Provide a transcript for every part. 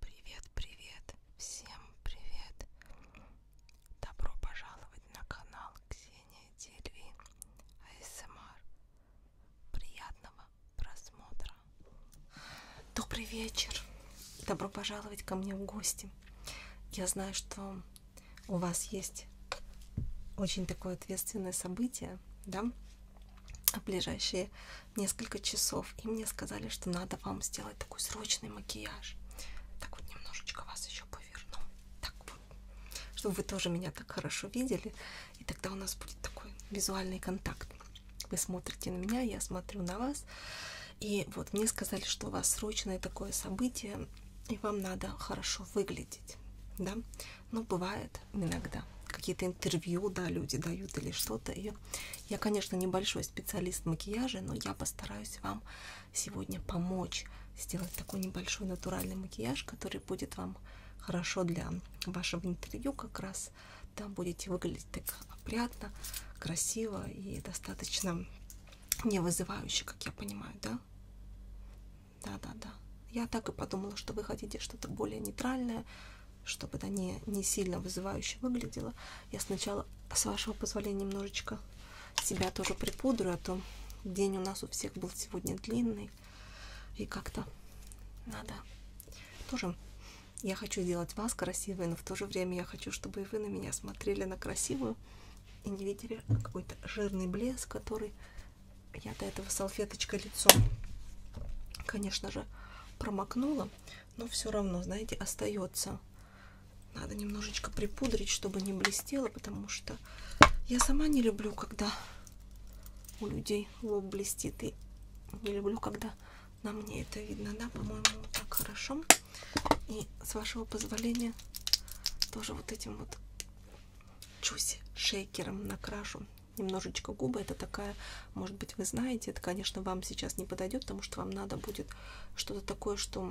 Привет, привет, всем привет! Добро пожаловать на канал Ксения Дельви АСМР. Приятного просмотра! Добрый вечер! Добро пожаловать ко мне в гости. Я знаю, что у вас есть очень такое ответственное событие, да? в ближайшие несколько часов. И мне сказали, что надо вам сделать такой срочный макияж. Так вот, немножечко вас еще поверну. Так вот, чтобы вы тоже меня так хорошо видели. И тогда у нас будет такой визуальный контакт. Вы смотрите на меня, я смотрю на вас. И вот мне сказали, что у вас срочное такое событие, и вам надо хорошо выглядеть. Да? Ну, бывает иногда. Какие-то интервью, да, люди дают или что-то, и варианты. Я, конечно, небольшой специалист макияжа, но я постараюсь вам сегодня помочь сделать такой небольшой натуральный макияж, который будет вам хорошо для вашего интервью как раз. Там будете выглядеть так опрятно, красиво и достаточно не вызывающе, как я понимаю, да? Да-да-да. Я так и подумала, что вы хотите что-то более нейтральное, чтобы это не, не сильно вызывающе выглядело, я сначала, с вашего позволения, немножечко себя тоже припудрю, а то день у нас у всех был сегодня длинный, и как-то надо тоже... Я хочу сделать вас красивой, но в то же время я хочу, чтобы и вы на меня смотрели на красивую и не видели какой-то жирный блеск, который я до этого салфеточкой лицом, конечно же, промокнула но все равно, знаете, остается. Надо немножечко припудрить, чтобы не блестело, потому что я сама не люблю, когда у людей лоб блестит, и не люблю, когда на мне это видно, да, по-моему, вот так хорошо. И с вашего позволения тоже вот этим вот чуси шейкером накрашу немножечко губы. Это такая, может быть, вы знаете, это, конечно, вам сейчас не подойдет, потому что вам надо будет что-то такое, что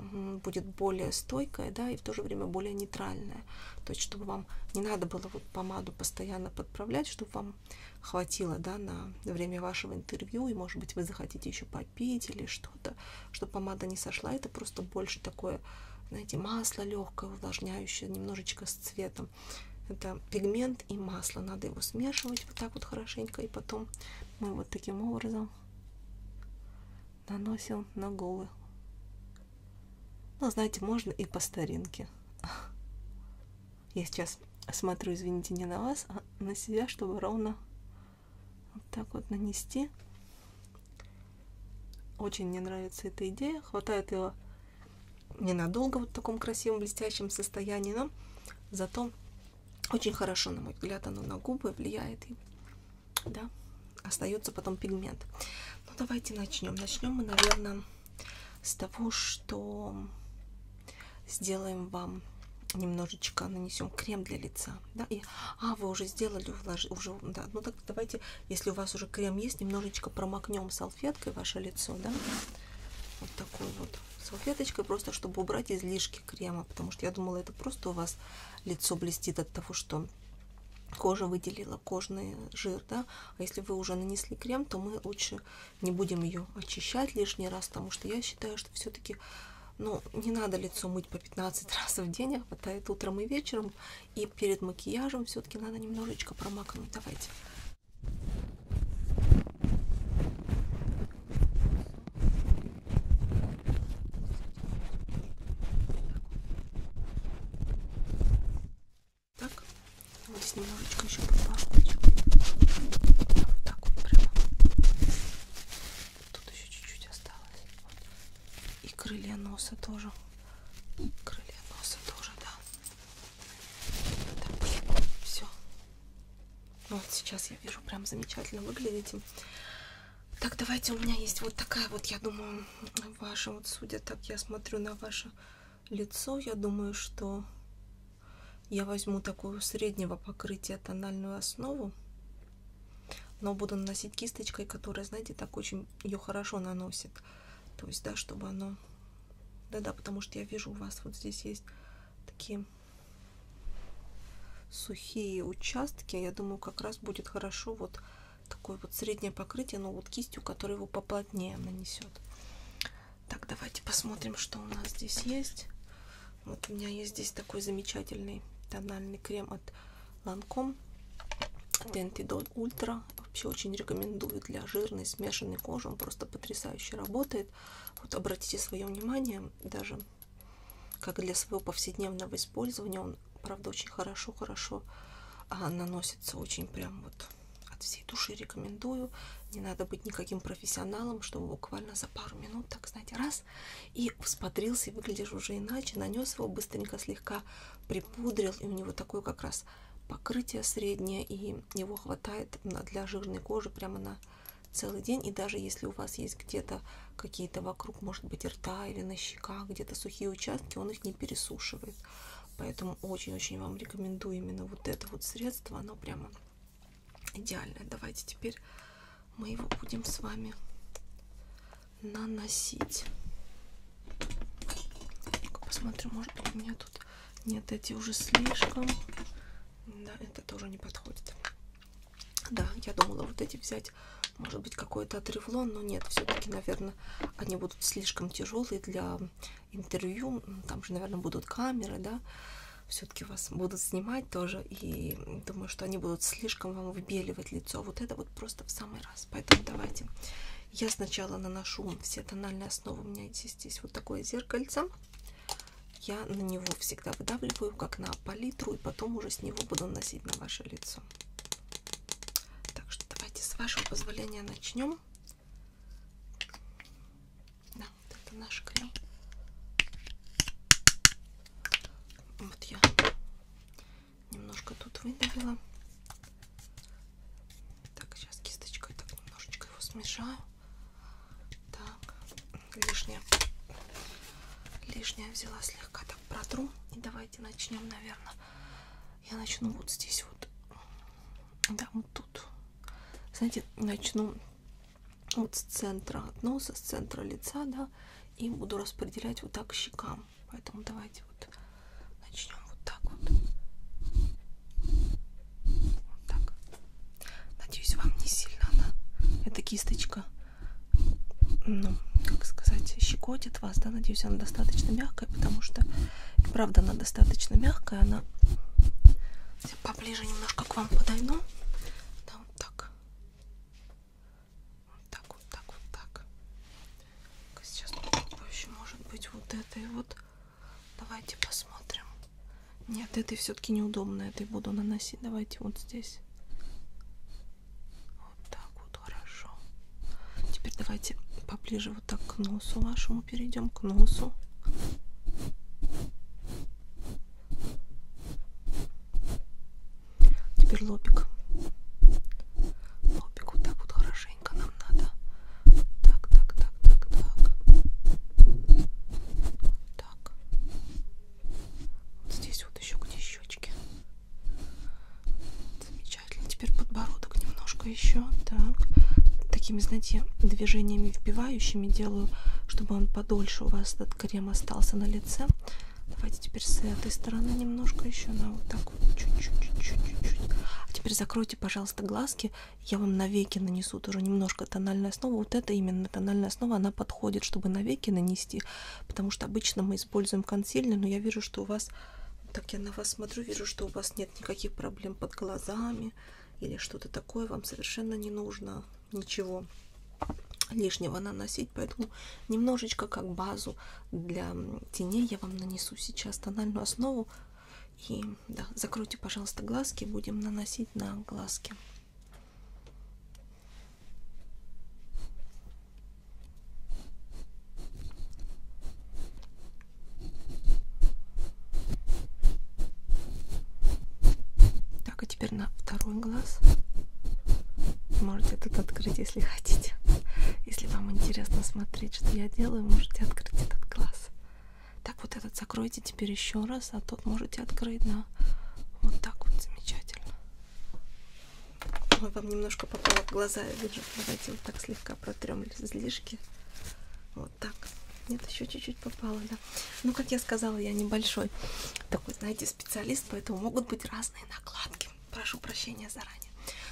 будет более стойкое, да, и в то же время более нейтральное. То есть, чтобы вам не надо было вот помаду постоянно подправлять, чтобы вам хватило, да, на время вашего интервью, и, может быть, вы захотите еще попить или что-то, чтобы помада не сошла. Это просто больше такое, знаете, масло легкое, увлажняющее, немножечко с цветом маслом. Это пигмент и масло. Надо его смешивать вот так вот хорошенько. И потом мы вот таким образом наносим на голову. Ну, знаете, можно и по старинке. Я сейчас смотрю, извините, не на вас, а на себя, чтобы ровно вот так вот нанести. Очень мне нравится эта идея. Хватает его ненадолго вот в таком красивом блестящем состоянии, но зато очень хорошо, на мой взгляд, оно на губы влияет и да, остается потом пигмент. Ну, давайте начнем. Начнем мы, наверное, с того, что сделаем вам немножечко нанесем крем для лица. Да? И, а, вы уже сделали, увлаж... уже, да. Ну так давайте, если у вас уже крем есть, немножечко промокнем салфеткой салфеткой ваше лицо, да, вот такой вот салфеточкой, просто чтобы убрать излишки крема, потому что я думала, это просто у вас лицо блестит от того, что кожа выделила кожный жир, да, а если вы уже нанесли крем, то мы лучше не будем ее очищать лишний раз, потому что я считаю, что все-таки ну, не надо лицо мыть по 15 раз в день, а хватает утром и вечером. И перед макияжем все-таки надо немножечко промакнуть. Давайте так, вот здесь немножечко еще попахнуть. Вот так вот прямо. Тут еще чуть-чуть осталось. Вот. И крылья носа тоже. Крылья носа тоже, да. Так, все. Ну вот сейчас я вижу, прям замечательно выглядите. Так, давайте, у меня есть вот такая вот, я думаю, ваша, вот судя так, я смотрю на ваше лицо, я думаю, что я возьму такую среднего покрытия тональную основу, но буду наносить кисточкой, которая, знаете, так очень ее хорошо наносит. То есть, да, чтобы оно... Да-да, потому что я вижу у вас вот здесь есть такие сухие участки. Я думаю, как раз будет хорошо вот такое вот среднее покрытие, но вот кистью, которая его поплотнее нанесет. Так, давайте посмотрим, что у нас здесь есть. Вот у меня есть здесь такой замечательный тональный крем от Lancome Dentidol Ultra. Вообще очень рекомендую для жирной смешанной кожи. Он просто потрясающе работает. Вот обратите свое внимание, даже как для своего повседневного использования, он, правда, очень хорошо-хорошо а, наносится, очень прям вот от всей души рекомендую. Не надо быть никаким профессионалом, чтобы буквально за пару минут, так знаете, раз, и всподрился, и выглядишь уже иначе, нанес его быстренько, слегка припудрил, и у него такое как раз покрытие среднее, и и его хватает для жирной кожи прямо на целый день. И даже если у вас есть где-то какие-то вокруг, может быть, рта или на щеках, где-то сухие участки, он их не пересушивает. Поэтому очень-очень вам рекомендую именно вот это вот средство. Оно прямо идеальное. Давайте теперь мы его будем с вами наносить. Посмотрим, может быть, у меня тут нет, эти уже слишком. Да, это тоже не подходит. Да, я думала вот эти взять, может быть, какой-то отревлон, но нет, все-таки, наверное, они будут слишком тяжелые для интервью. Там же, наверное, будут камеры, да. Все-таки вас будут снимать тоже, и думаю, что они будут слишком вам выбеливать лицо. Вот это вот просто в самый раз. Поэтому давайте я сначала наношу все тональные основы. У меня здесь, здесь вот такое зеркальце я на него всегда выдавливаю, как на палитру, и потом уже с него буду наносить на ваше лицо. Так что давайте с вашего позволения начнем. Да, вот это наш крем. Вот я немножко тут выдавила. Так, сейчас кисточкой так немножечко его смешаю. Так, лишняя. Лишняя взяла слегка так протру. И давайте начнем, наверное. Я начну вот здесь вот. Да, вот тут. Знаете, начну вот с центра от носа, с центра лица, да, и буду распределять вот так щекам. Поэтому давайте вот начнем вот так вот. Вот так. Надеюсь, вам не сильно она, эта кисточка, ну, как сказать, щекотит вас, да, надеюсь, она достаточно мягкая, потому что, правда, она достаточно мягкая, она Я поближе немножко к вам подойду, да, вот так, вот так, вот так, вот так. Сейчас попробую еще, может быть, вот этой вот Давайте посмотрим. Нет, этой все-таки неудобно. Этой буду наносить. Давайте вот здесь. Вот так вот хорошо. Теперь давайте поближе вот так к носу вашему перейдем. К носу. Теперь лобик. Лобик вот так вот хорошенько нам надо так, так, так, так, так. Вот так. Вот здесь вот еще где щечки. Замечательно. Теперь подбородок немножко еще. Так. Такими, знаете, движениями вбивающими делаю, чтобы он подольше у вас этот крем остался на лице. Давайте теперь с этой стороны немножко еще на вот так вот чуть-чуть-чуть-чуть. А теперь закройте, пожалуйста, глазки я вам навеки нанесу тоже немножко тональной основы. Вот эта именно тональная основа, она подходит, чтобы навеки нанести, потому что обычно мы используем консилер, но я вижу, что у вас, так я на вас смотрю, вижу, что у вас нет никаких проблем под глазами или что-то такое, вам совершенно не нужно ничего лишнего наносить, поэтому немножечко как базу для теней я вам нанесу сейчас тональную основу и да, закройте, пожалуйста, глазки. Будем наносить на глазки. Так, а теперь на второй глаз. Можете тут открыть, если хотите. Если вам интересно смотреть, что я делаю, можете открыть этот глаз. Так вот этот закройте теперь еще раз, а тот можете открыть на вот так вот замечательно. Ой, вам немножко попало в глаза, я вижу. Давайте вот так слегка протрем излишки. Вот так. Нет, еще чуть-чуть попало, да. Ну, как я сказала, я небольшой такой, знаете, специалист, поэтому могут быть разные накладки. Прошу прощения заранее.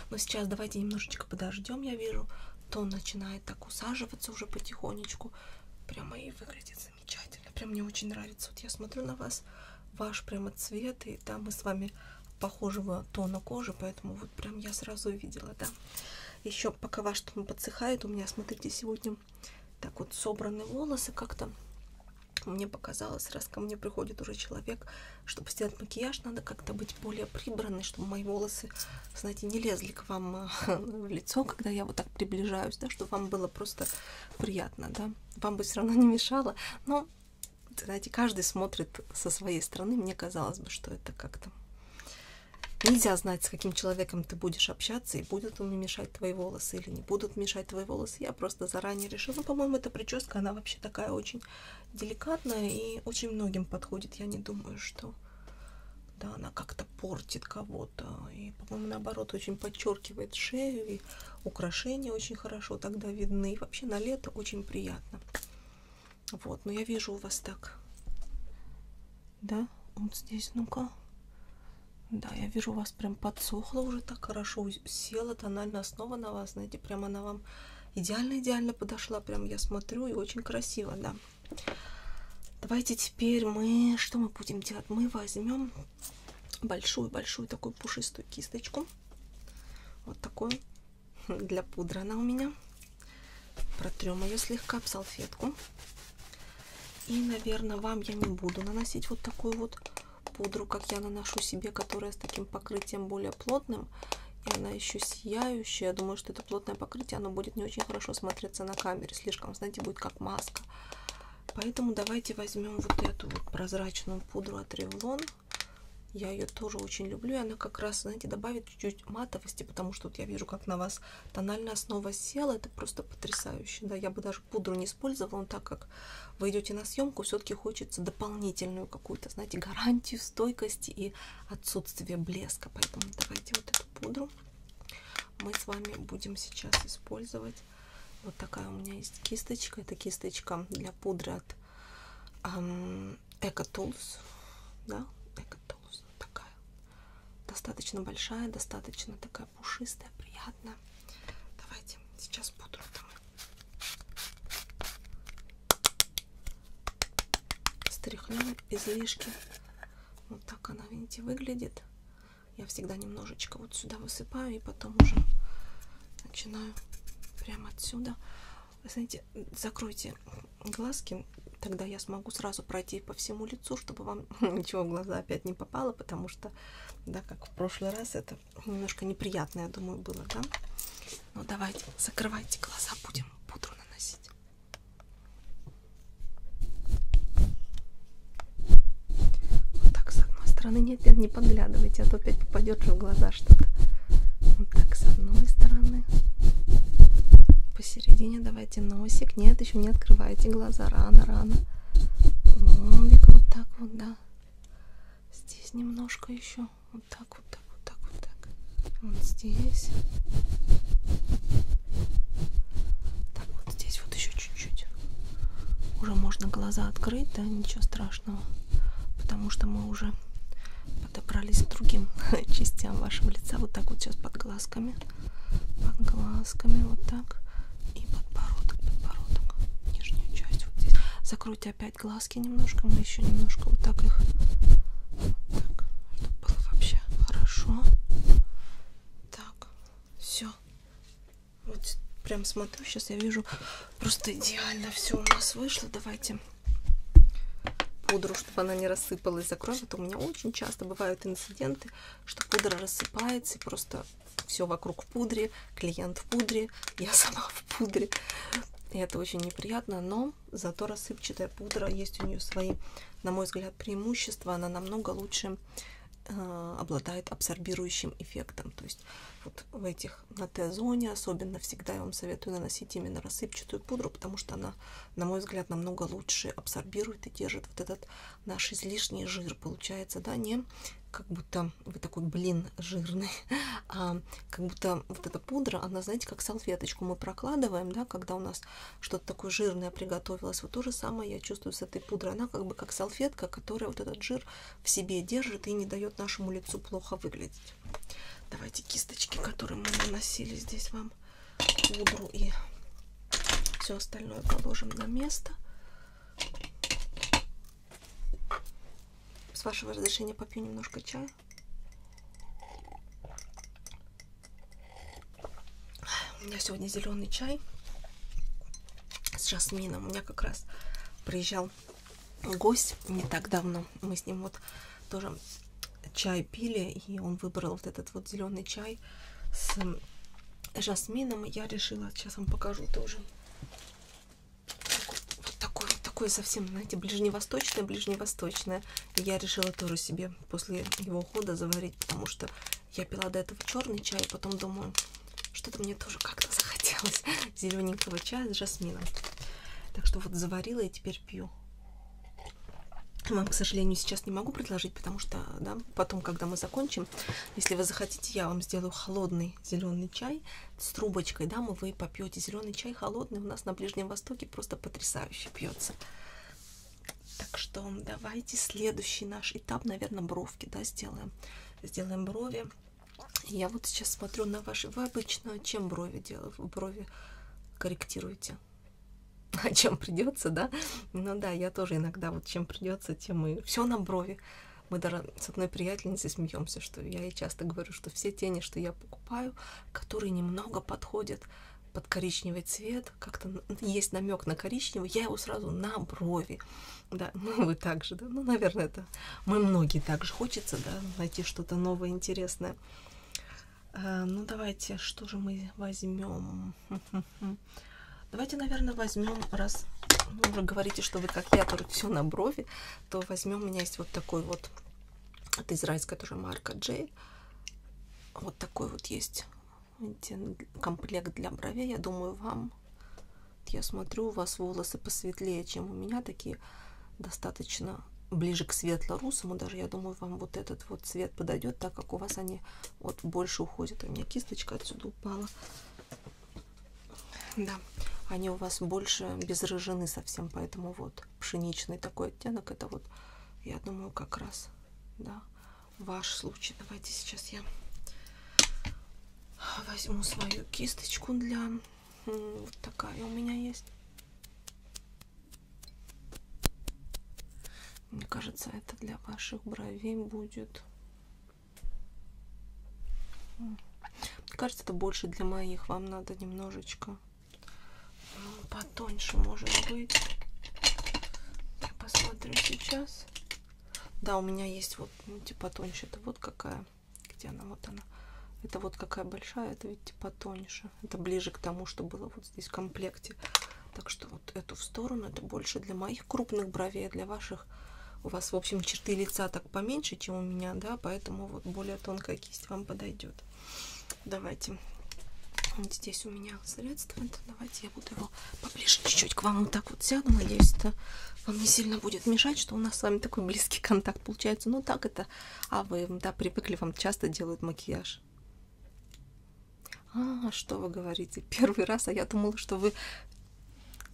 Но сейчас давайте немножечко подождем, я вижу, то начинает так усаживаться уже потихонечку косметику прямо и выглядит замечательно. Прям мне очень нравится. Вот я смотрю на вас, ваш прямо цвет, и да, мы с вами похожего тона кожи, поэтому вот прям я сразу увидела, да. Еще пока ваш тон подсыхает, у меня, смотрите, сегодня так вот собраны волосы как-то. Мне показалось, раз ко мне приходит уже человек, чтобы сделать макияж, надо как-то быть более прибранной, чтобы мои волосы знаете, не лезли к вам э, в лицо, когда я вот так приближаюсь, да, чтобы вам было просто приятно, да. Вам бы все равно не мешало, но, знаете, каждый смотрит со своей стороны. Мне казалось бы, что это как-то... Нельзя знать, с каким человеком ты будешь общаться, и будет он мешать твои волосы или не будут мешать твои волосы. Я просто заранее решила. Ну, по-моему, эта прическа, она вообще такая очень деликатная и очень многим подходит. Я не думаю, что да, она как-то портит кого-то. И, по-моему, наоборот, очень подчеркивает шею, и украшения очень хорошо тогда видны. И вообще на лето очень приятно. Вот, но я вижу у вас так. Да, вот здесь, ну-ка. Да, я вижу, у вас прям подсохла уже так хорошо, села тональная основа на вас, знаете, прям она вам идеально-идеально подошла, прям я смотрю, и очень красиво, да. Давайте теперь мы... Что мы будем делать? Мы возьмем большую-большую такую пушистую кисточку. Вот такую. Для пудры она у меня. Протрем ее слегка об салфетку. И, наверное, вам я не буду наносить вот такую вот пудру, как я наношу себе, которая с таким покрытием более плотным. И она еще сияющая. Я думаю, что это плотное покрытие, оно будет не очень хорошо смотреться на камере. Слишком, знаете, будет как маска. Поэтому давайте возьмем вот эту вот прозрачную пудру от Revlon. Я ее тоже очень люблю. И она как раз, знаете, добавит чуть-чуть матовости, потому что вот я вижу, как на вас тональная основа села. Это просто потрясающе. Да, я бы даже пудру не использовала, но так как вы идете на съемку, все-таки хочется дополнительную какую-то, знаете, гарантию стойкости и отсутствия блеска. Поэтому давайте вот это пудру мы с вами будем сейчас использовать вот такая у меня есть кисточка это кисточка для пудры от эм, эко tools да эко tools такая достаточно большая достаточно такая пушистая приятная давайте сейчас пудру там стряхнем излишки. Вот так она, видите, выглядит. Я всегда немножечко вот сюда высыпаю и потом уже начинаю прямо отсюда. Вы знаете, закройте глазки, тогда я смогу сразу пройти по всему лицу, чтобы вам ничего в глаза опять не попало, потому что, да, как в прошлый раз, это немножко неприятно, я думаю, было, да? Ну, давайте, закрывайте глаза, будем пудру наносить. Вот так с одной стороны. Нет, нет, не подглядывайте, а то опять попадет же в глаза что-то. Вот так с одной стороны. Посередине давайте носик. Нет, еще не открывайте глаза. Рано, рано. Лобик вот так вот, да. Здесь немножко еще. Вот так, вот так, вот так, вот так вот здесь. Так, вот здесь вот еще чуть-чуть. Уже можно глаза открыть, да, ничего страшного. Потому что мы уже подобрались к другим частям вашего лица. Вот так вот сейчас под глазками. Под глазками вот так. И подбородок, подбородок. Нижнюю часть вот здесь. Закройте опять глазки немножко. Мы еще немножко вот так их вот так. Тут было вообще хорошо. Так, все. Вот прям смотрю, сейчас я вижу, просто идеально все у нас вышло. Давайте пудру, чтобы она не рассыпалась, закроем. Это а у меня очень часто бывают инциденты, что пудра рассыпается и просто все вокруг в пудре, клиент в пудре, я сама в пудре. И это очень неприятно, но зато рассыпчатая пудра есть у нее свои, на мой взгляд, преимущество, она намного лучше э, обладает абсорбирующим эффектом. То есть вот в этих на Т-зоне особенно всегда я вам советую наносить именно рассыпчатую пудру, потому что она, на мой взгляд, намного лучше абсорбирует и держит вот этот наш излишний жир. Получается, да, не как будто вы такой блин жирный, а как будто вот эта пудра, она, знаете, как салфеточку мы прокладываем, да, когда у нас что-то такое жирное приготовилось. Вот то же самое я чувствую с этой пудрой. Она как бы как салфетка, которая вот этот жир в себе держит и не дает нашему лицу плохо выглядеть. Давайте кисточки, которые мы наносили здесь вам, пудру и все остальное положим на место. С вашего разрешения попью немножко чая. У меня сегодня зеленый чай с жасмином. У меня как раз приезжал гость не так давно. Мы с ним вот тоже чай пили, и он выбрал вот этот вот зеленый чай с жасмином. Я решила, сейчас вам покажу тоже. Вот такой, вот такой совсем, знаете, ближневосточное, ближневосточное. Я решила тоже себе после его ухода заварить, потому что я пила до этого черный чай, потом думаю, что-то мне тоже как-то захотелось зелененького чая с жасмином. Так что вот заварила и теперь пью. Вам, к сожалению, сейчас не могу предложить, потому что да, потом, когда мы закончим, если вы захотите, я вам сделаю холодный зеленый чай с трубочкой, да, мы вы попьете зеленый чай холодный. У нас на Ближнем Востоке просто потрясающе пьется. Так что давайте следующий наш этап, наверное, бровки, да, сделаем. Сделаем брови. Я вот сейчас смотрю на ваши... Вы обычно чем брови делаете? Брови корректируете? А чем придется, да? Ну да, я тоже иногда вот чем придется, тем и... Все на брови. Мы даже с одной приятельницей смеемся, что я ей часто говорю, что все тени, что я покупаю, которые немного подходят под коричневый цвет, как-то есть намек на коричневый, я его сразу на брови, да, ну вы также, да, ну, наверное, это мы многие также хочется, да, найти что-то новое, интересное. А, ну, давайте, что же мы возьмем? Давайте, наверное, возьмем, раз ну, уже говорите, что вы как я, только все на брови, то возьмем, у меня есть вот такой вот, это израильская тоже марка J, вот такой вот есть комплект для бровей, я думаю, вам. Я смотрю, у вас волосы посветлее, чем у меня, такие достаточно ближе к светло-русому. Даже, я думаю, вам вот этот вот цвет подойдет, так как у вас они вот больше уходят. А у меня кисточка отсюда упала. Да, они у вас больше безрыжены совсем, поэтому вот пшеничный такой оттенок, это вот, я думаю, как раз да, ваш случай. Давайте сейчас я возьму свою кисточку для... Вот такая у меня есть. Мне кажется, это для ваших бровей будет... Мне кажется, это больше для моих. Вам надо немножечко потоньше может быть. Я посмотрю сейчас. Да, у меня есть вот, ну, типа тоньше. Это вот какая. Где она? Вот она. Это вот какая большая, это ведь типа тоньше. Это ближе к тому, что было вот здесь в комплекте. Так что вот эту в сторону. Это больше для моих крупных бровей, а для ваших у вас, в общем, черты лица так поменьше, чем у меня, да, поэтому вот более тонкая кисть вам подойдет. Давайте. Вот здесь у меня средство. Давайте я буду его поближе чуть-чуть к вам вот так вот сяду. Надеюсь, это вам не сильно будет мешать, что у нас с вами такой близкий контакт получается. Ну так это. А вы, да, привыкли, вам часто делают макияж. А, что вы говорите? Первый раз, а я думала, что вы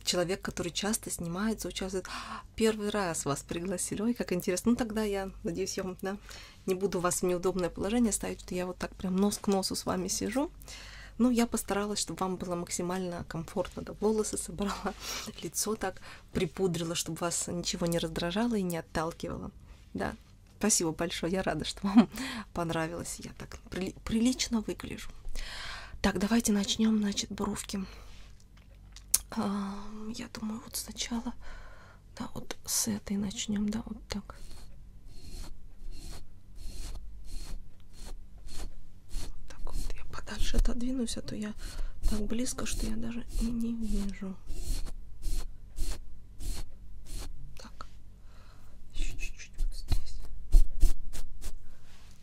человек, который часто снимается, участвует. Первый раз вас пригласили. Ой, как интересно. Ну, тогда я надеюсь, я вам да, не буду вас в неудобное положение ставить, что я вот так прям нос к носу с вами сижу. Но ну, я постаралась, чтобы вам было максимально комфортно. Да, волосы собрала, лицо так припудрила, чтобы вас ничего не раздражало и не отталкивало. Да, спасибо большое, я рада, что вам понравилось. Я так прили прилично выгляжу. Так, давайте начнем, значит, бровки. Я думаю, вот сначала да, вот с этой начнем, да, вот так. Вот так вот я подальше отодвинусь, а то я так близко, что я даже и не вижу. Так, еще чуть-чуть вот здесь.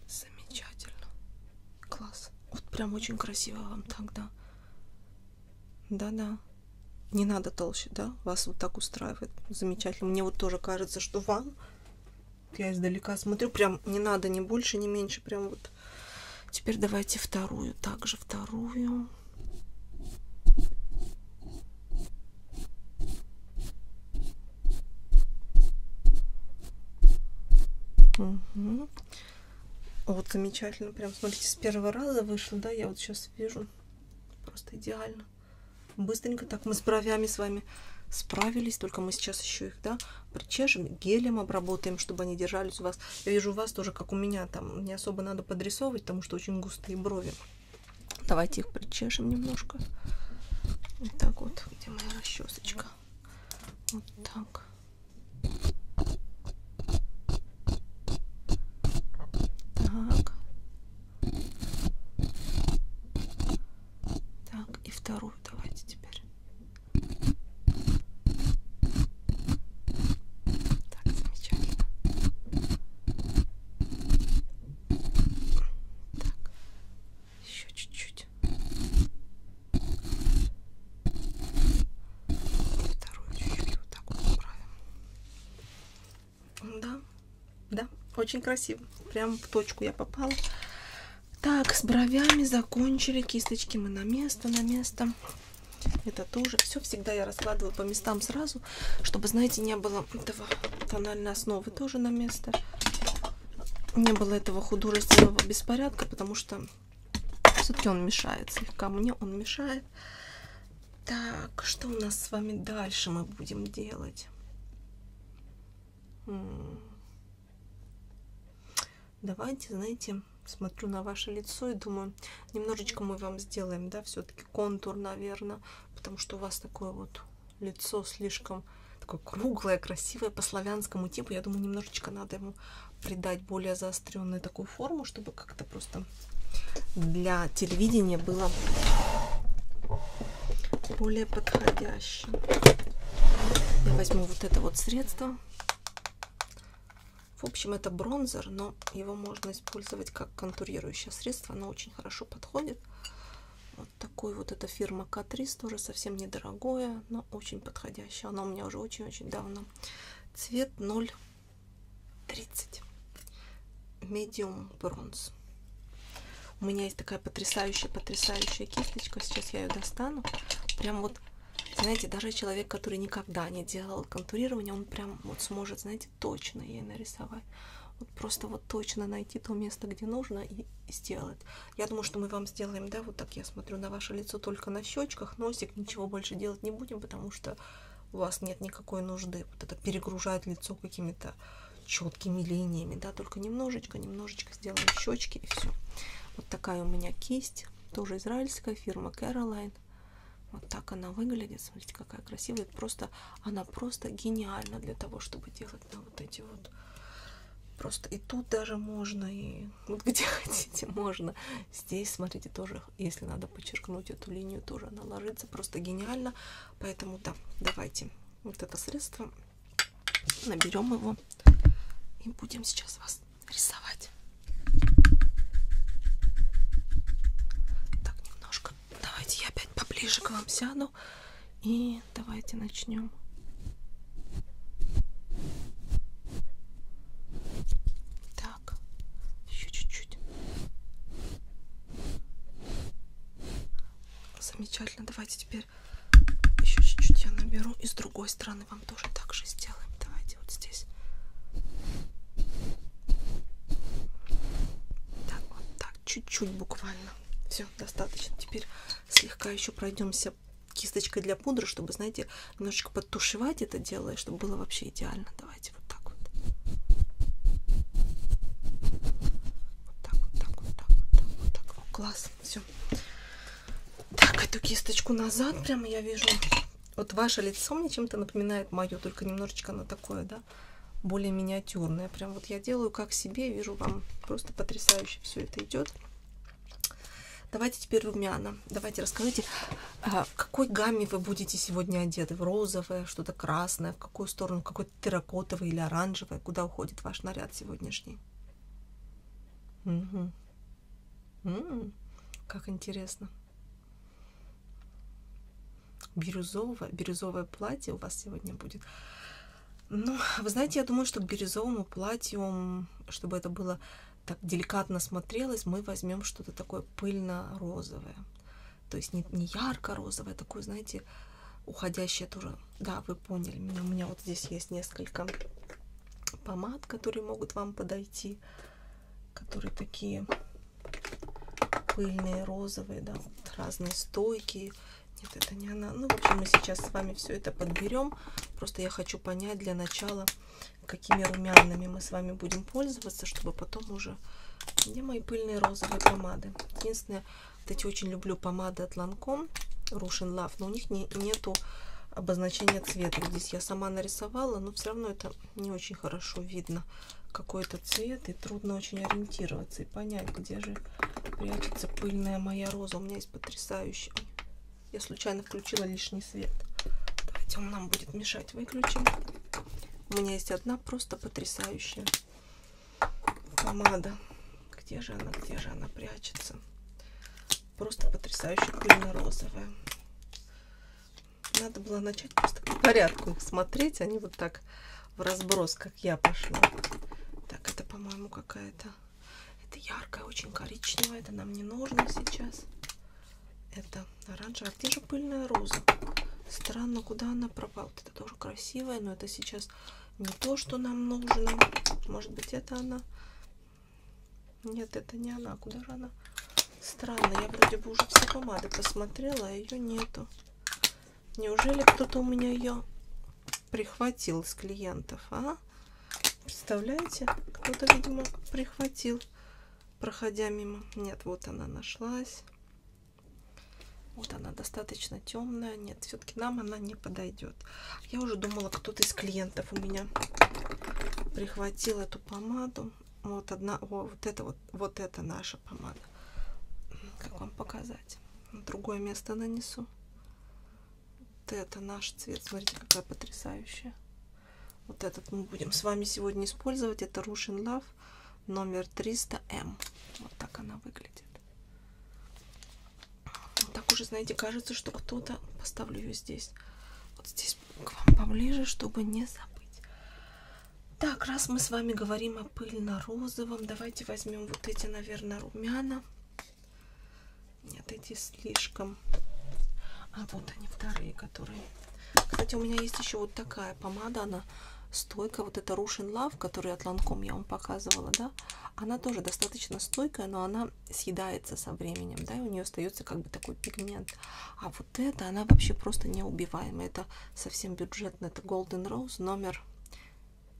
Замечательно. Класс. Вот прям очень красиво вам тогда. Да-да. Не надо толще, да? Вас вот так устраивает. Замечательно. Мне вот тоже кажется, что ван, я издалека смотрю, прям не надо ни больше, ни меньше, прям вот. Теперь давайте вторую, также вторую. Угу. Вот замечательно, прям смотрите, с первого раза вышло, да, я вот сейчас вижу. Просто идеально. Быстренько так мы с бровями с вами справились, только мы сейчас еще их, да, причешем, гелем обработаем, чтобы они держались у вас. Я вижу у вас тоже, как у меня, там не особо надо подрисовывать, потому что очень густые брови. Давайте их причешем немножко. Вот так вот, где моя расчесочка? Вот так. Так. Так, и вторую давайте теперь. Так, замечательно. Так, еще чуть-чуть. Вторую чуть-чуть вот так вот направим. Да, да, очень красиво. Прям в точку я попала. Так, с бровями закончили. Кисточки мы на место, на место. Это тоже. Все всегда я раскладывала по местам сразу, чтобы, знаете, не было этого тональной основы тоже на место. Не было этого художественного беспорядка, потому что все-таки он мешает. Слегка мне он мешает. Так, что у нас с вами дальше мы будем делать? Давайте, знаете, смотрю на ваше лицо и думаю, немножечко мы вам сделаем, да, все-таки контур, наверное, потому что у вас такое вот лицо слишком такое круглое, красивое, по славянскому типу. Я думаю, немножечко надо ему придать более заостренную такую форму, чтобы как-то просто для телевидения было более подходяще. Я возьму вот это вот средство. В общем, это бронзер, но его можно использовать как контурирующее средство. Оно очень хорошо подходит. Вот такой вот эта фирма Катрис, тоже совсем недорогое, но очень подходящее. Оно у меня уже очень-очень давно. Цвет 0 30. Medium бронз. У меня есть такая потрясающая-потрясающая кисточка. Сейчас я ее достану. Прям вот, знаете, даже человек, который никогда не делал контурирование, он прям вот сможет, знаете, точно ей нарисовать. Вот просто вот точно найти то место, где нужно, и сделать. Я думаю, что мы вам сделаем, да, вот так я смотрю на ваше лицо только на щечках, носик, ничего больше делать не будем, потому что у вас нет никакой нужды вот это перегружать лицо какими-то четкими линиями, да, только немножечко, немножечко сделаем щечки и все. Вот такая у меня кисть, тоже израильская фирма Caroline. Вот так она выглядит, смотрите, какая красивая. Просто она просто гениальна для того, чтобы делать на вот эти вот просто и тут даже можно и вот где хотите можно. Здесь, смотрите, тоже если надо подчеркнуть эту линию, тоже она ложится просто гениально. Поэтому да, давайте вот это средство наберем его и будем сейчас вас рисовать. Так, немножко. Давайте я опять поближе к вам сяду. И давайте начнем. Так, еще чуть-чуть. Замечательно. Давайте теперь еще чуть-чуть я наберу. И с другой стороны вам тоже так же сделаем. Давайте вот здесь. Так, вот так, чуть-чуть буквально. Все, достаточно. Теперь слегка еще пройдемся кисточкой для пудры, чтобы, знаете, немножечко подтушевать это дело, и чтобы было вообще идеально. Да? Давайте вот так вот. Вот так, вот так, вот так, вот так, вот так. О, класс, все. Так, эту кисточку назад прямо я вижу. Вот ваше лицо мне чем-то напоминает мое, только немножечко оно такое, да, более миниатюрное. Прям вот я делаю как себе, вижу вам просто потрясающе все это идет. Давайте теперь румяна. Давайте расскажите, а, в какой гамме вы будете сегодня одеты? В розовое, что-то красное, в какую сторону, какой-то терракотовый или оранжевый? Куда уходит ваш наряд сегодняшний? Угу. М -м, как интересно. Бирюзовое, бирюзовое платье у вас сегодня будет. Ну, вы знаете, я думаю, что к бирюзовому платью, чтобы это было так деликатно смотрелось, мы возьмем что-то такое пыльно-розовое. То есть не, не ярко-розовое, а такое, знаете, уходящее тоже. Да, вы поняли меня. У меня вот здесь есть несколько помад, которые могут вам подойти. Которые такие пыльные, розовые, да, вот разные стойки. Нет, это не она. Ну, в общем, мы сейчас с вами все это подберем. Просто я хочу понять для начала, какими румянами мы с вами будем этим пользоваться, чтобы потом уже... Где мои пыльные розовые помады? Единственное, вот эти очень люблю помады от Lancome, Russian Love, но у них не, нету обозначения цвета. Здесь я сама нарисовала, но все равно это не очень хорошо видно, какой это цвет, и трудно очень ориентироваться и понять, где же прячется пыльная моя роза. У меня есть потрясающий... Я случайно включила лишний свет. Давайте он нам будет мешать. Выключим. У меня есть одна просто потрясающая помада. Где же она, где же она прячется? Просто потрясающая пыльно-розовая. Надо было начать просто по порядку их смотреть, а не вот так в разброс, как я пошла. Так, это, по-моему, какая-то... Это яркая, очень коричневая, это нам не нужно сейчас. Это оранжевая. А где же пыльная роза? Странно, куда она пропала. Вот это тоже красивая, но это сейчас не то, что нам нужно. Может быть, это она? Нет, это не она. Куда же она? Странно, я вроде бы уже все помады посмотрела, а ее нету. Неужели кто-то у меня ее прихватил из клиентов, а? Представляете? Кто-то, видимо, прихватил проходя мимо. Нет, вот она нашлась. Вот она достаточно темная. Нет, все-таки нам она не подойдет. Я уже думала, кто-то из клиентов у меня прихватил эту помаду. Вот одна, о, вот это вот, вот это наша помада. Как вам показать? На другое место нанесу. Вот это наш цвет. Смотрите, какая потрясающая. Вот этот мы будем с вами сегодня использовать. Это Russian Love граммов, номер 300М. Эм. Вот так она выглядит. Вот так уже, знаете, кажется, что кто-то... Поставлю ее здесь. Вот здесь к вам поближе, чтобы не забыть. Так, раз мы с вами говорим о пыльно-розовом, давайте возьмем вот эти, наверное, румяна. Нет, эти слишком... А вот они, вторые, которые кстати, у меня есть еще вот такая помада, она стойкая. Вот это Russian Love, которую от Lancome я вам показывала, да? Она тоже достаточно стойкая, но она съедается со временем, да? И у нее остается как бы такой пигмент. А вот эта, она вообще просто неубиваемая. Это совсем бюджетная. Это Golden Rose номер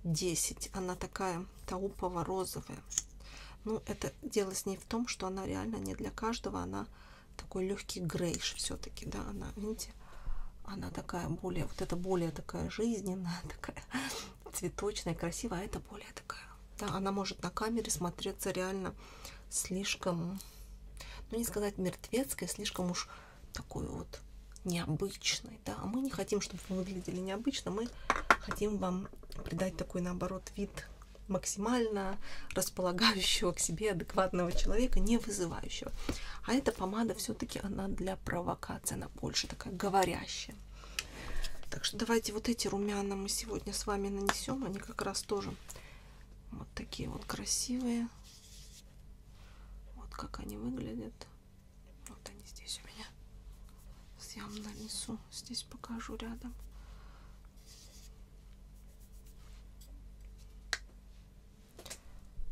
10. Она такая таупово-розовая. Ну, это дело с ней в том, что она реально не для каждого. Она такой легкий грейш все-таки, да, она, видите, она такая более, вот это более такая жизненная, такая цветочная, красивая, а это более такая, да, она может на камере смотреться реально слишком, ну не сказать мертвецкой, слишком уж такой вот необычной, да, а мы не хотим, чтобы вы выглядели необычно, мы хотим вам придать такой, наоборот, вид максимально располагающего к себе адекватного человека, не вызывающего. А эта помада все-таки она для провокации, она больше такая говорящая. Так что давайте вот эти румяна мы сегодня с вами нанесем. Они как раз тоже вот такие вот красивые. Вот как они выглядят. Вот они здесь у меня. Я вам нанесу. Здесь покажу рядом.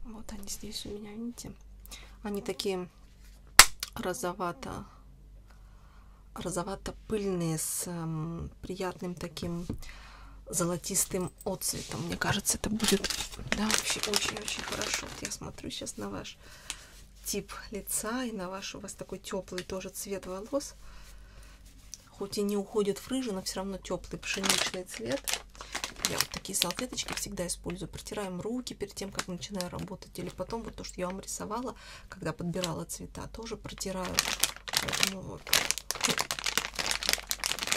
Вот они здесь у меня, видите? Они такие розовато розовато-пыльные с э, приятным таким золотистым отцветом. Мне кажется, это будет да, вообще очень-очень хорошо. Вот я смотрю сейчас на ваш тип лица и на ваш у вас такой теплый тоже цвет волос. Хоть и не уходит в рыжий, но все равно теплый пшеничный цвет. Я вот такие салфеточки всегда использую. Протираем руки перед тем, как начинаю работать. Или потом вот то, что я вам рисовала, когда подбирала цвета, тоже протираю. Поэтому вот.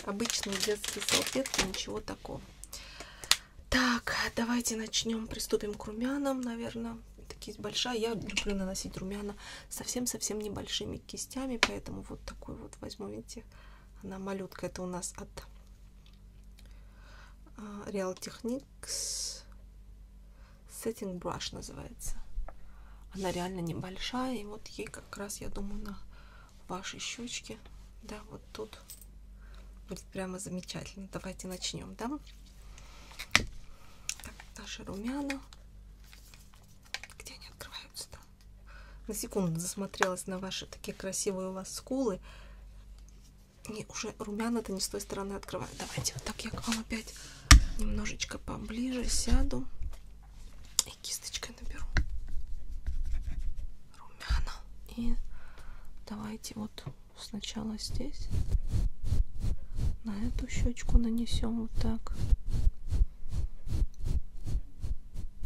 Обычные детские салфетки, ничего такого. Так, давайте начнем, приступим к румянам, наверное. Такие большая. Я люблю наносить румяна совсем-совсем небольшими большими кистями, поэтому вот такой вот возьму, видите, она малютка, это у нас от а, Real Techniques Setting Brush называется. Она реально небольшая, и вот ей как раз, я думаю, на ваши щечки, да, вот тут будет прямо замечательно. Давайте начнем, да? Так, наши румяна. Где они открываются-то? на секунду засмотрелась на ваши такие красивые у вас скулы. Не, уже румяна-то не с той стороны открываю. Давайте вот так я к вам опять немножечко поближе сяду и кисточкой наберу румяна. И давайте вот сначала здесь на эту щечку нанесем вот так.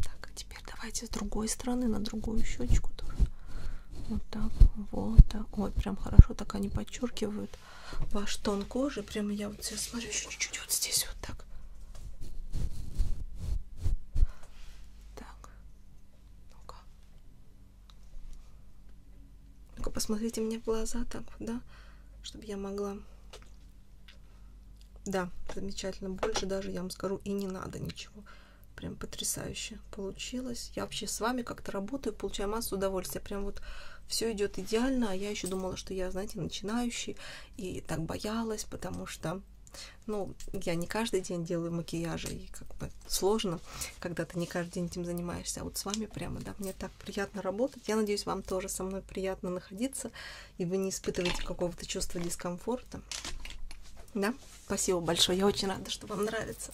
Так, а теперь давайте с другой стороны на другую щечку тоже. Вот так, вот так. Ой, прям хорошо так они подчеркивают ваш тон кожи. Прямо я вот сейчас смотрю еще чуть-чуть вот здесь вот так. Так. Ну-ка. Ну-ка, посмотрите мне в глаза так, да? Чтобы я могла да, замечательно. Больше даже, я вам скажу, и не надо ничего. Прям потрясающе получилось. Я вообще с вами как-то работаю, получаю массу удовольствия. Прям вот все идет идеально. А я еще думала, что я, знаете, начинающий. И так боялась, потому что ну, я не каждый день делаю макияжи, и как бы сложно, когда ты не каждый день этим занимаешься. А вот с вами прямо, да, мне так приятно работать. Я надеюсь, вам тоже со мной приятно находиться и вы не испытываете какого-то чувства дискомфорта. Да? Спасибо большое, я очень рада, что вам нравится.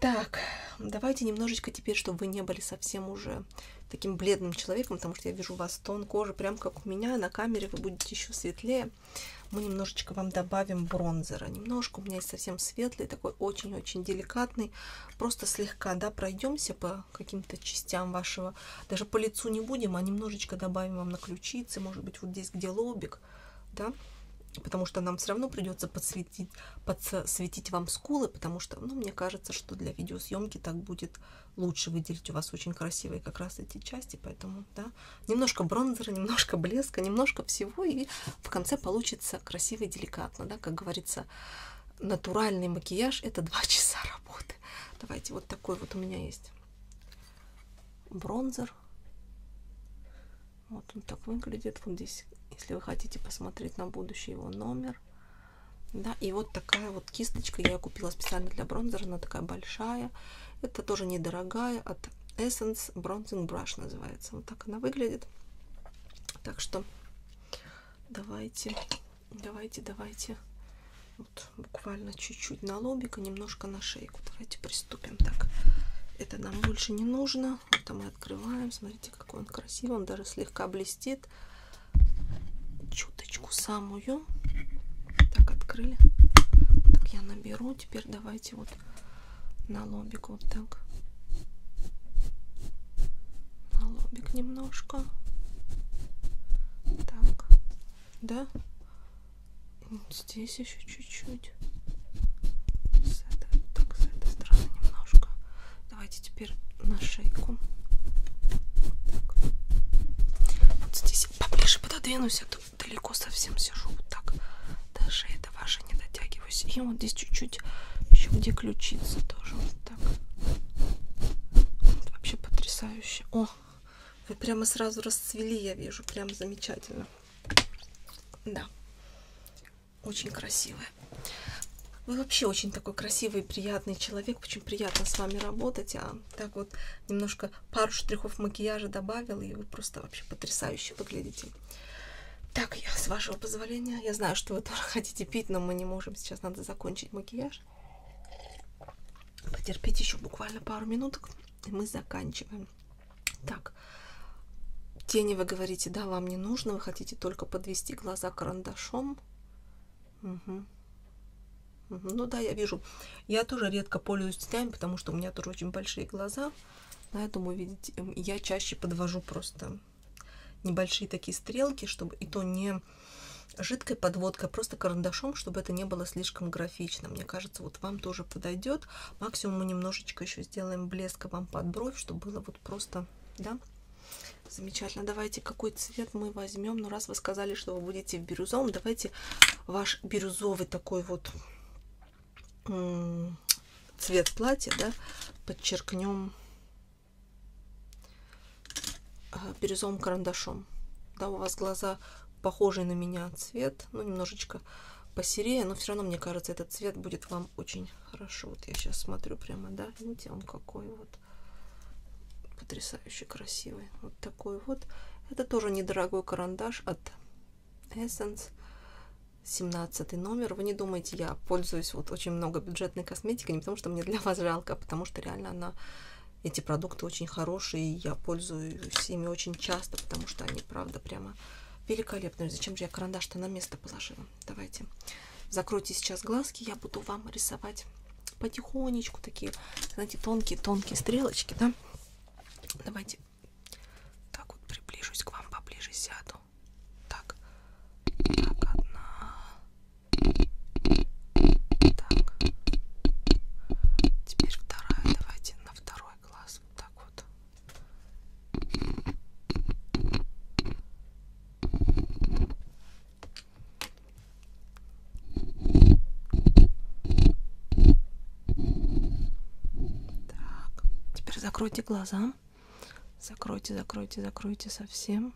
Так, давайте немножечко теперь, чтобы вы не были совсем уже таким бледным человеком, потому что я вижу у вас тон кожи, прям как у меня, на камере вы будете еще светлее. Мы немножечко вам добавим бронзера. Немножко у меня есть совсем светлый, такой очень-очень деликатный. Просто слегка, да, пройдемся по да, каким-то частям вашего, даже по лицу не будем, а немножечко добавим вам на ключицы, может быть, вот здесь, где лобик, да, потому что нам все равно придется подсветить, подсветить вам скулы, потому что, ну, мне кажется, что для видеосъемки так будет лучше выделить у вас очень красивые как раз эти части, поэтому, да, немножко бронзера, немножко блеска, немножко всего, и в конце получится красиво и деликатно, да, как говорится, натуральный макияж – это два часа работы цвет. Давайте вот такой вот у меня есть бронзер. Вот он так выглядит. Вот здесь, если вы хотите посмотреть на будущее его номер. Да, и вот такая вот кисточка я купила специально для бронзера. Она такая большая. Это тоже недорогая от Essence Bronzing Brush называется. Вот так она выглядит. Так что давайте Давайте, давайте. Вот, буквально чуть-чуть на лобик и немножко на шейку. Давайте приступим. Так, это нам больше не нужно. Это мы открываем. Смотрите, какой он красивый. Он даже слегка блестит. Чуточку самую. Так, открыли. Так, я наберу. Теперь давайте вот на лобик вот так на лобик немножко. Так, да? Вот здесь еще чуть-чуть. так, с этой стороны немножко. Давайте теперь на шейку. Так. Вот здесь поближе пододвинусь, а то далеко совсем сижу. Вот так. Даже это ваше не дотягиваюсь. И вот здесь чуть-чуть еще где ключица тоже. Так. Вот вообще потрясающе. О, вы прямо сразу расцвели, я вижу. Прям замечательно. Да. Очень красивая. Вы вообще очень такой красивый, приятный человек. Очень приятно с вами работать. А так вот немножко пару штрихов макияжа добавила, и вы просто вообще потрясающе выглядите. Так, я, с вашего позволения, я знаю, что вы тоже хотите пить, но мы не можем. Сейчас надо закончить макияж. Потерпите еще буквально пару минуток, и мы заканчиваем. Так, тени вы говорите, да, вам не нужно, вы хотите только подвести глаза карандашом. Угу. Ну да, я вижу. Я тоже редко пользуюсь тенями, потому что у меня тоже очень большие глаза. Поэтому, видите, я чаще подвожу просто небольшие такие стрелки, чтобы и то не жидкой подводкой, просто карандашом, чтобы это не было слишком графично. Мне кажется, вот вам тоже подойдет. Максимум мы немножечко еще сделаем блеска вам под бровь, чтобы было вот просто, да, Замечательно. Давайте, какой цвет мы возьмем? Ну, раз вы сказали, что вы будете в бирюзовом, давайте ваш бирюзовый такой вот цвет платья, да, подчеркнем а, бирюзовым карандашом. Да, у вас глаза похожий на меня цвет, ну, немножечко посерее, но все равно, мне кажется, этот цвет будет вам очень хорошо. Вот я сейчас смотрю прямо, да, видите, он какой вот потрясающе красивый. Вот такой вот. Это тоже недорогой карандаш от Essence. 17 номер. Вы не думайте, я пользуюсь вот очень много бюджетной косметика не потому, что мне для вас жалко, а потому что реально она эти продукты очень хорошие, я пользуюсь ими очень часто, потому что они, правда, прямо великолепные. Зачем же я карандаш-то на место положила? Давайте закройте сейчас глазки, я буду вам рисовать потихонечку такие, знаете, тонкие-тонкие стрелочки, да? Давайте так вот приближусь к вам, поближе сяду. Так, так, одна, так. Теперь вторая. Давайте на второй глаз. Вот так вот. Так. Теперь закройте глаза. Закройте, закройте, закройте совсем.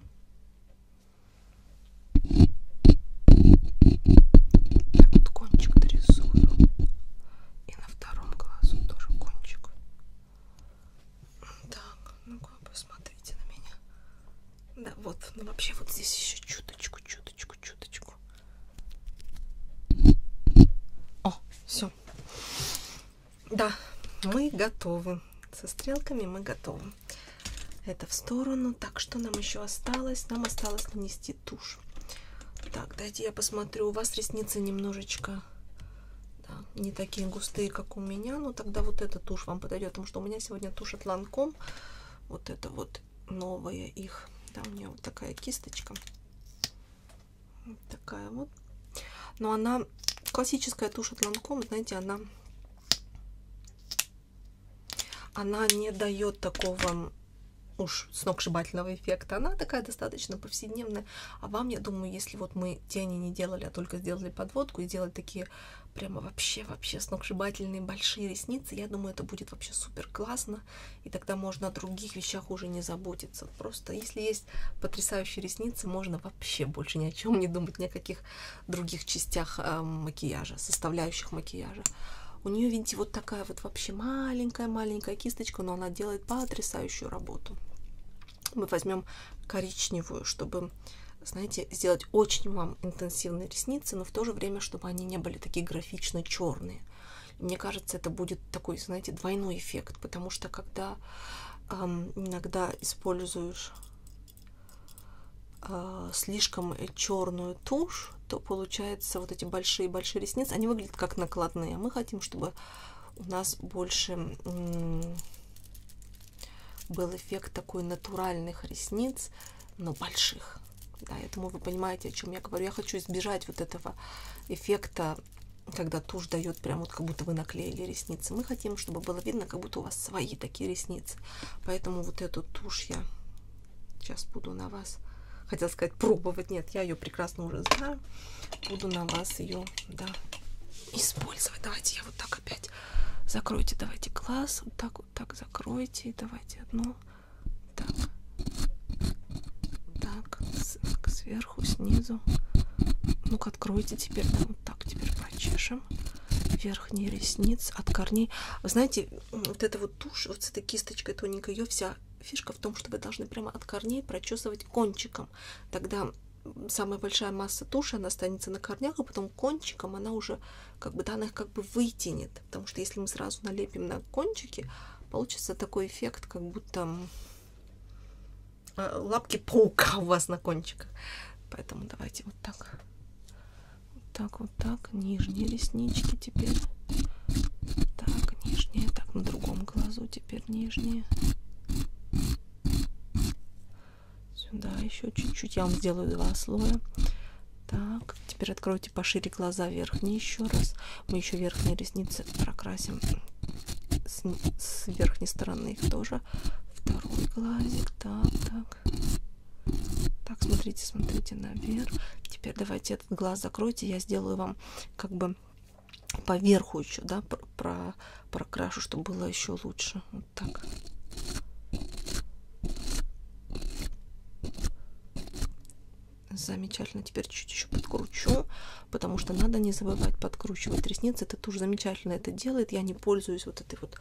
Так вот кончик дорисую. И на втором глазу тоже кончик. Так, ну-ка посмотрите на меня. Да, вот, ну вообще вот здесь еще чуточку, чуточку, чуточку. О, все. Да, мы готовы. Со стрелками мы готовы уберем это в сторону. Так, что нам еще осталось? Нам осталось нанести тушь. Так, дайте я посмотрю. У вас ресницы немножечко да, не такие густые, как у меня. Но ну, тогда вот эта тушь вам подойдет, потому что у меня сегодня тушь от Ланком. Вот это вот новая их. Да, у меня вот такая кисточка. Вот такая вот. Но она классическая тушь от Ланком, знаете, она она не дает такого уж сногсшибательного эффекта. Она такая достаточно повседневная. А вам, я думаю, если вот мы тени не делали, а только сделали подводку и делали такие прямо вообще-вообще сногсшибательные большие ресницы, я думаю, это будет вообще супер классно. И тогда можно о других вещах уже не заботиться. Просто если есть потрясающие ресницы, можно вообще больше ни о чем не думать, ни о каких других частях э, макияжа, составляющих макияжа. У нее, видите, вот такая вот вообще маленькая-маленькая кисточка, но она делает потрясающую работу. Мы возьмем коричневую, чтобы, знаете, сделать очень вам интенсивные ресницы, но в то же время, чтобы они не были такие графично черные. И мне кажется, это будет такой, знаете, двойной эффект, потому что когда эм, иногда используешь а, слишком черную тушь, то получается вот эти большие-большие ресницы, они выглядят как накладные. Мы хотим, чтобы у нас больше был эффект такой натуральных ресниц, но больших. Да, я думаю, вы понимаете, о чем я говорю. Я хочу избежать вот этого эффекта, когда тушь дает прям вот как будто вы наклеили ресницы. Мы хотим, чтобы было видно, как будто у вас свои такие ресницы нравится. Поэтому вот эту тушь я сейчас буду на вас, хотела сказать, пробовать. Нет, я ее прекрасно уже знаю. Буду на вас ее, да, использовать. Давайте я вот так опять закройте, давайте глаз. Вот так вот так закройте. Давайте одну. Так. Так, сверху, снизу. Ну-ка, откройте теперь. Да, вот так теперь прочешем верхней ресниц, от корней. Вы знаете, вот эта вот тушь, вот с этой кисточкой тоненькой, ее вся фишка в том, что вы должны прямо от корней прочесывать кончиком. Тогда самая большая масса туши, она останется на корнях, а потом кончиком она уже, как бы, да, она их как бы вытянет. Потому что если мы сразу налепим на кончики, получится такой эффект, как будто а, лапки паука у вас на кончиках. Поэтому давайте вот так. Вот так, вот так. Нижние реснички теперь. Так, нижние. Так, на другом глазу теперь нижние. Сюда еще чуть-чуть. Я вам сделаю два слоя. Так, теперь откройте пошире глаза верхние еще раз. Мы еще верхние ресницы прокрасим с, с верхней стороны их тоже. Второй глазик, так, так так так смотрите смотрите наверх теперь давайте этот глаз закройте я сделаю вам как бы поверху еще да про, про прокрашу чтобы было еще лучше вот так замечательно теперь чуть еще подкручу потому что надо не забывать подкручивать ресницы это тоже замечательно это делает я не пользуюсь вот этой вот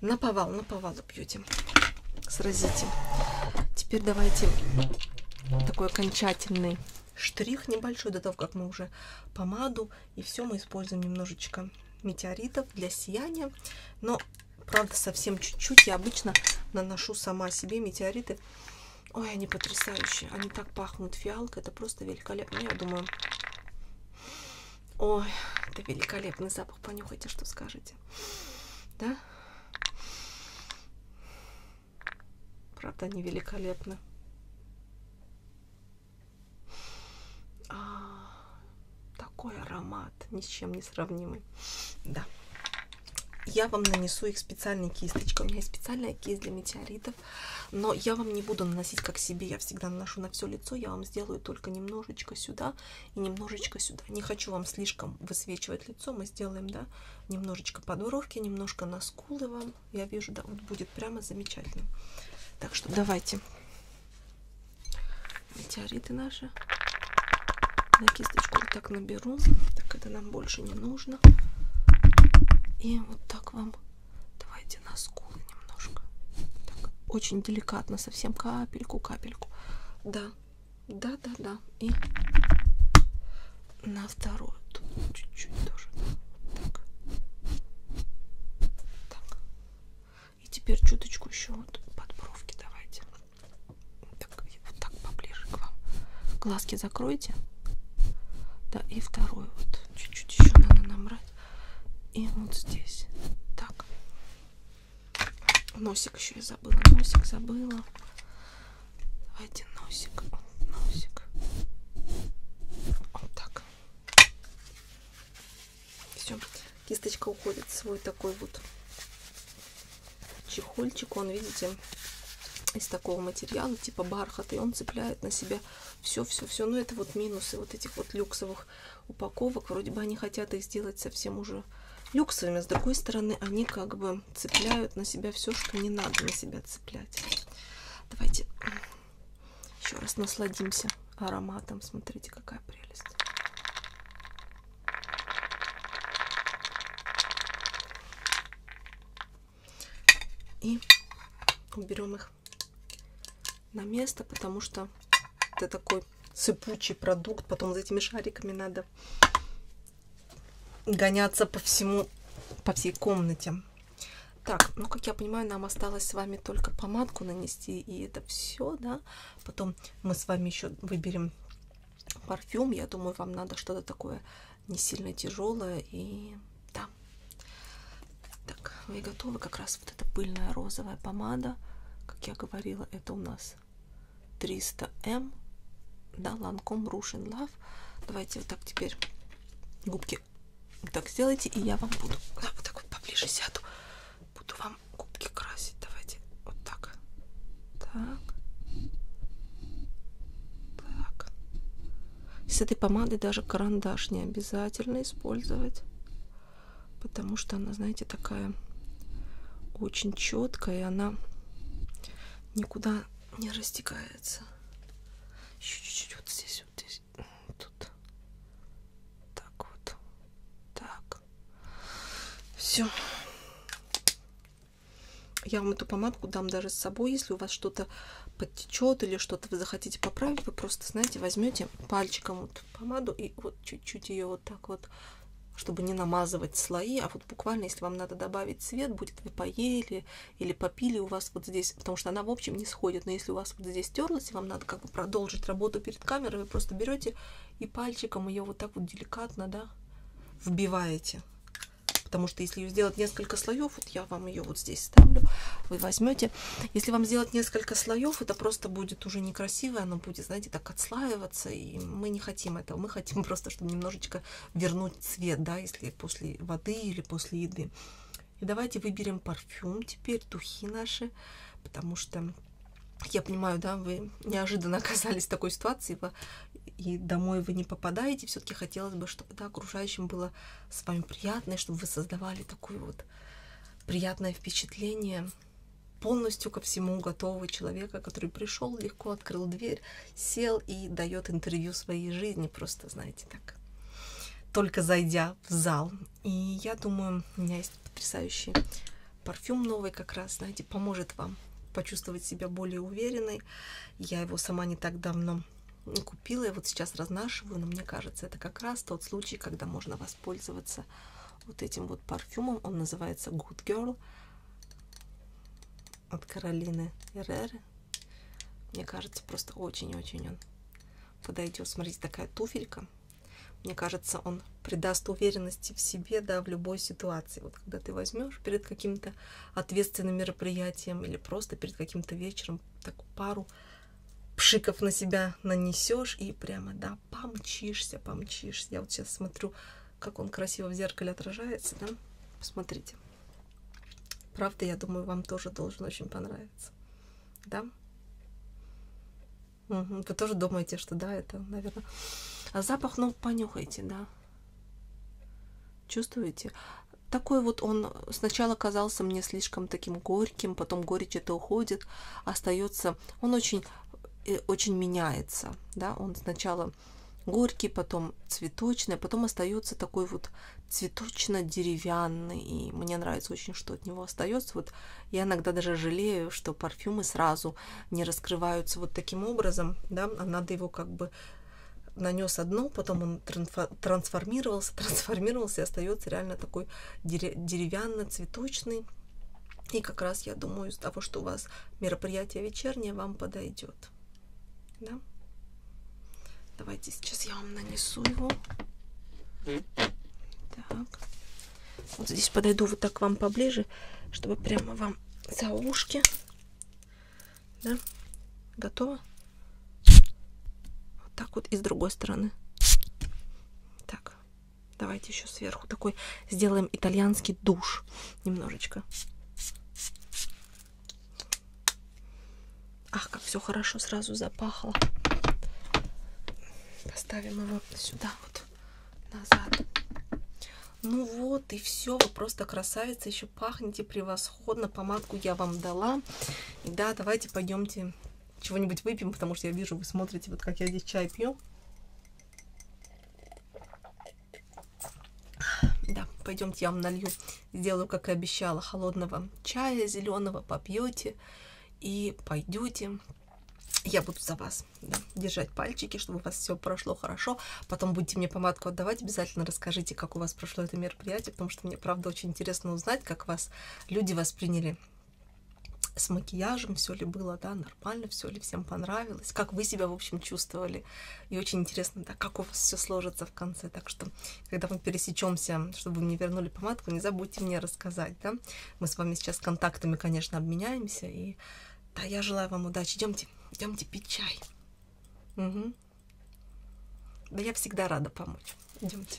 наповал, наповал бьете. Сразите. Теперь давайте такой окончательный штрих небольшой до того, как мы уже помаду и все мы используем немножечко метеоритов для сияния. Но, правда, совсем чуть-чуть. Я обычно наношу сама себе метеориты. Ой, они потрясающие. Они так пахнут фиалкой. Это просто великолепно. Я думаю... Ой, это великолепный запах. Понюхайте, что скажете знаете. Да? Правда, они великолепны. А, такой аромат, ни с чем не сравнимый. Да. Я вам нанесу их специальной кисточкой. У меня есть специальная кисть для метеоритов, но я вам не буду наносить как себе. Я всегда наношу на все лицо. Я вам сделаю только немножечко сюда и немножечко сюда. Не хочу вам слишком высвечивать лицо, мы сделаем, да, немножечко под бровки, немножко на скулы вам. Я вижу, да, вот будет прямо замечательно. Так что давайте метеориты наши на кисточку вот так наберу, так это нам больше не нужно. И вот так вам давайте на скулы немножко. Так, очень деликатно, совсем капельку, капельку. Да, да-да-да. И на вторую. Тут чуть-чуть тоже. Вот так. Так. И теперь чуточку еще вот под бровки давайте. Так, вот так поближе к вам. Глазки закройте. Да, и вторую вот чуть-чуть еще надо набрать. И вот здесь. Так. Носик еще я забыла. Носик забыла. Давайте носик. Носик. Вот так. Все. Кисточка уходит в свой такой вот чехольчик. Он, видите, из такого материала, типа бархата, и он цепляет на себя все-все-все. Но ну, это вот минусы вот этих вот люксовых упаковок. Вроде бы они хотят их сделать совсем уже люксовыми. С другой стороны, они как бы цепляют на себя все, что не надо на себя цеплять. Давайте еще раз насладимся ароматом. Смотрите, какая прелесть. И уберем их на место, потому что это такой сыпучий продукт. Потом за этими шариками надо гоняться по всему, по всей комнате. Так, ну, как я понимаю, нам осталось с вами только помадку нанести, и это все, да. Потом мы с вами еще выберем парфюм. Я думаю, вам надо что-то такое не сильно тяжелое и да. Так, вы готовы? Как раз вот эта пыльная розовая помада, как я говорила, это у нас X 300M, эм. да, Lancome Rouge in Love. Давайте вот так теперь губки вот так сделайте, и я вам буду, да, вот так вот поближе сяду, буду вам губки красить. Давайте вот так, так, так. С этой помадой даже карандаш не обязательно использовать потому что она, знаете, такая очень четкая, и она никуда не растекается. Еще чуть-чуть вот здесь, вот здесь, тут. Так вот. Так. Все. Я вам эту помадку дам даже с собой, если у вас что-то подтечет или что-то вы захотите поправить, вы просто, знаете, возьмете пальчиком вот помаду и вот чуть-чуть ее вот так вот, чтобы не намазывать слои, а вот буквально, если вам надо добавить цвет, будет вы поели или попили у вас вот здесь, потому что она в общем не сходит, но если у вас вот здесь терлась, и вам надо как бы продолжить работу перед камерой, вы просто берете и пальчиком ее вот так вот деликатно, да, вбиваете потому что если ее сделать несколько слоев, вот я вам ее вот здесь ставлю, вы возьмете. Если вам сделать несколько слоев, это просто будет уже некрасиво, оно будет, знаете, так отслаиваться впитываться, и мы не хотим этого. Мы хотим просто, чтобы немножечко вернуть цвет, да, если после воды или после еды. И давайте выберем парфюм теперь, духи наши, потому что я понимаю, да, вы неожиданно оказались в такой ситуации, и домой вы не попадаете. Все-таки хотелось бы, чтобы да, окружающим было с вами приятно, и чтобы вы создавали такое вот приятное впечатление полностью ко всему готового человека, который пришел, легко открыл дверь, сел и дает интервью своей жизни, просто, знаете, так, только зайдя в зал. И я думаю, у меня есть потрясающий парфюм новый как раз, знаете, поможет вам почувствовать себя более уверенной. Я его сама не так давно купила, я вот сейчас разнашиваю, но мне кажется, это как раз тот случай, когда можно воспользоваться вот этим вот парфюмом. Он называется Good Girl от Каролины Эреры. Мне кажется, просто очень-очень он подойдет. Смотрите, такая туфелька. Мне кажется, он придаст уверенности в себе, да, в любой ситуации. Вот когда ты возьмешь перед каким-то ответственным мероприятием или просто перед каким-то вечером такую пару пшиков на себя нанесешь и прямо, да, прям помчишься, помчишься. Я вот сейчас смотрю, как он красиво в зеркале отражается, да? Посмотрите. Правда, я думаю, вам тоже должен очень понравиться. Да? Угу. Вы тоже думаете, что да, это, наверное... А запах, ну, понюхайте, да? Чувствуете? Такой вот он сначала казался мне слишком таким горьким, потом горечь это уходит, остается... Он очень очень меняется, да, он сначала горький, потом цветочный, а потом остается такой вот цветочно-деревянный. И мне нравится очень, что от него остается. Вот я иногда даже жалею, что парфюмы сразу не раскрываются вот таким образом, да, а надо его как бы нанес одно, потом он трансформировался, трансформировался и остается реально такой деревянно-цветочный и как раз, я думаю, из того, что у вас мероприятие вечернее, вам подойдет. Да? Давайте сейчас я вам нанесу его. Так. Вот здесь подойду вот так вам поближе, чтобы прямо вам за ушки. Да? Готово? Вот так вот и с другой стороны. Так. Давайте еще сверху такой сделаем итальянский душ немножечко. Ах, как все хорошо сразу запахло. Поставим его сюда вот назад. Ну вот и все, вы просто красавица, еще пахнете превосходно, помадку я вам дала. И да, давайте пойдемте чего-нибудь выпьем, потому что я вижу, вы смотрите, вот как я здесь чай пью. Да, пойдемте, я вам налью, сделаю, как и обещала, холодного чая зеленого, попьете и пойдете. Я буду за вас да, держать пальчики, чтобы у вас все прошло хорошо. Потом будете мне помадку отдавать, обязательно расскажите, как у вас прошло это мероприятие, потому что мне, правда, очень интересно узнать, как вас люди восприняли с макияжем, все ли было, да, нормально, все ли всем понравилось, как вы себя, в общем, чувствовали. И очень интересно, да, как у вас все сложится в конце. Так что, когда мы пересечемся, чтобы вы мне вернули помадку, не забудьте мне рассказать, да. Мы с вами сейчас контактами, конечно, обменяемся. И да, я желаю вам удачи. Идемте, идемте пить чай. Угу. Да я всегда рада помочь. Идемте.